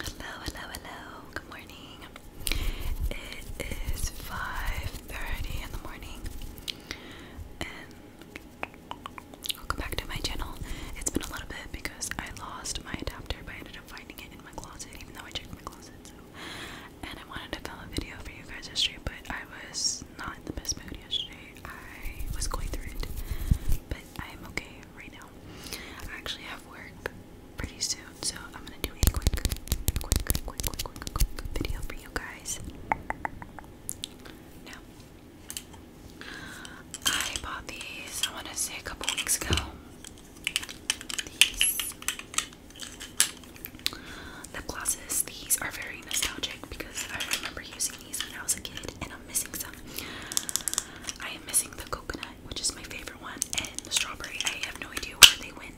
Hello, hello, hello. Good morning. It is 5:30 in the morning. welcome back to my channel. It's been a little bit because I lost my adapter, but I ended up finding it in my closet, even though I checked my closet. So and I wanted to film a video for you guys yesterday, but I was not in the best mood yesterday. I was going through it. But I am okay right now. I actually have work pretty soon, so I'm gonna do a quick, quick, quick, quick, quick, quick video for you guys. Now, I bought these, I want to say a couple weeks ago. The lip glosses, these are very nostalgic because I remember using when I was a kid, and I'm missing some. I am missing the coconut, which is my favorite one, and the strawberry. I have no idea where they went.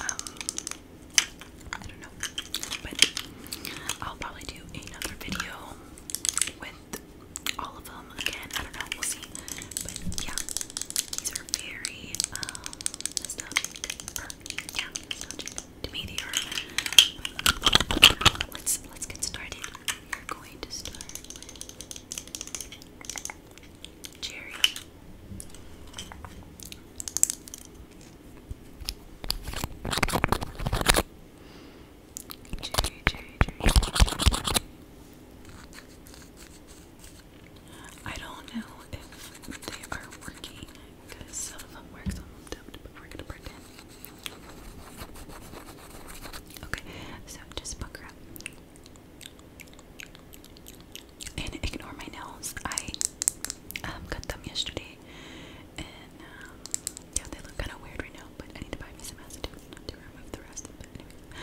Um, I don't know, but I'll probably do another video with all of them again. I don't know, we'll see. But yeah, these are very um, meteor. let's let's get started. We're going to start Cherry, cherry, cherry. I don't know if they are working because some gonna pretend. Okay, so just pucker up. And ignore my nails. I um, cut them yesterday, and um, yeah, they look kind of weird right now. But I need to buy me some acetone to remove the rest. But anyway,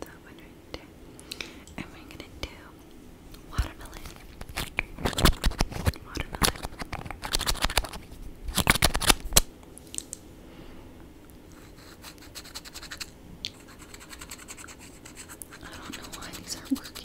That one right And we're gonna do watermelon. Watermelon. I don't know why these aren't working.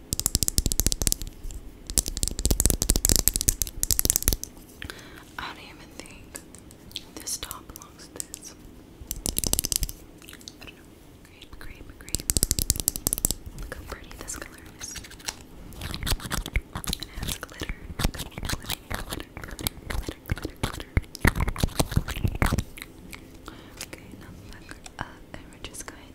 I don't even think this top belongs to this. I don't Look how pretty this color is. It has glitter. Glitter, glitter, glitter, glitter, glitter, glitter. Okay, now look up and we're just going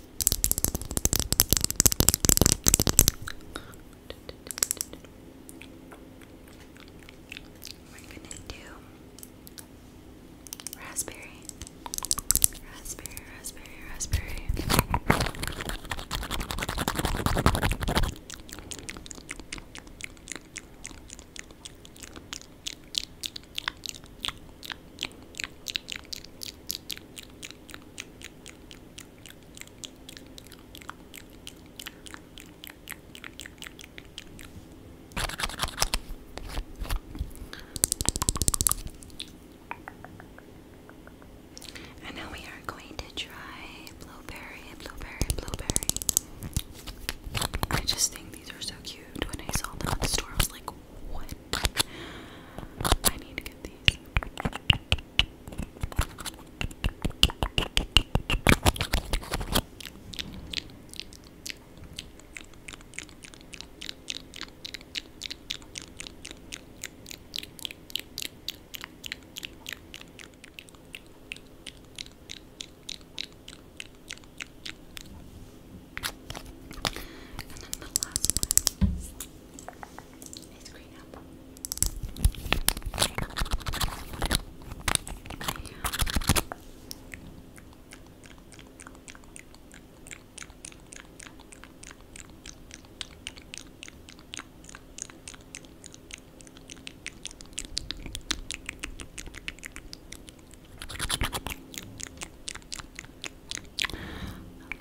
We're gonna do raspberry, raspberry, raspberry, raspberry. And now we are going to try blueberry, blueberry, blueberry. I just think these are so cute. When I saw them at the store, I was like, what? I need to get these. And then the last one is green apple. I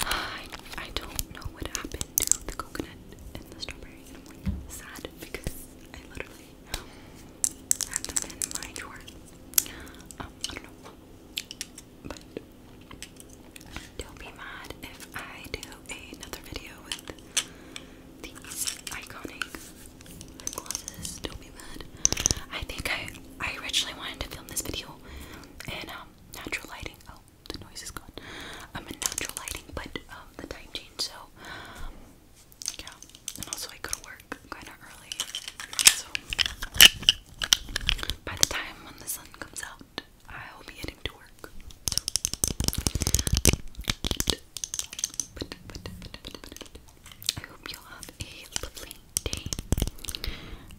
I, I don't know what happened to the coconut and the strawberry I'm sad because I literally had them in my drawer. Um, I don't know. But don't be mad if I do another video with these iconic lip Don't be mad. I think I I originally wanted to film this video in um, natural lighting. Oh, the noise is gone. I'm um, in natural lighting, but um, the time changed, so um, yeah. And also, I go to work kind of early, so by the time when the sun comes out, I will be heading to work. I hope you have a lovely day,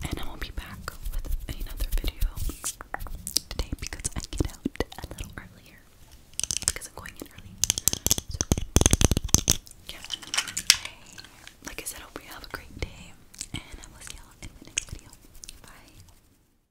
and I will be back with another video today because I get out a little earlier because I'm going in early. So, like I said, hope you have a great day, and I will see you in the next video. Bye.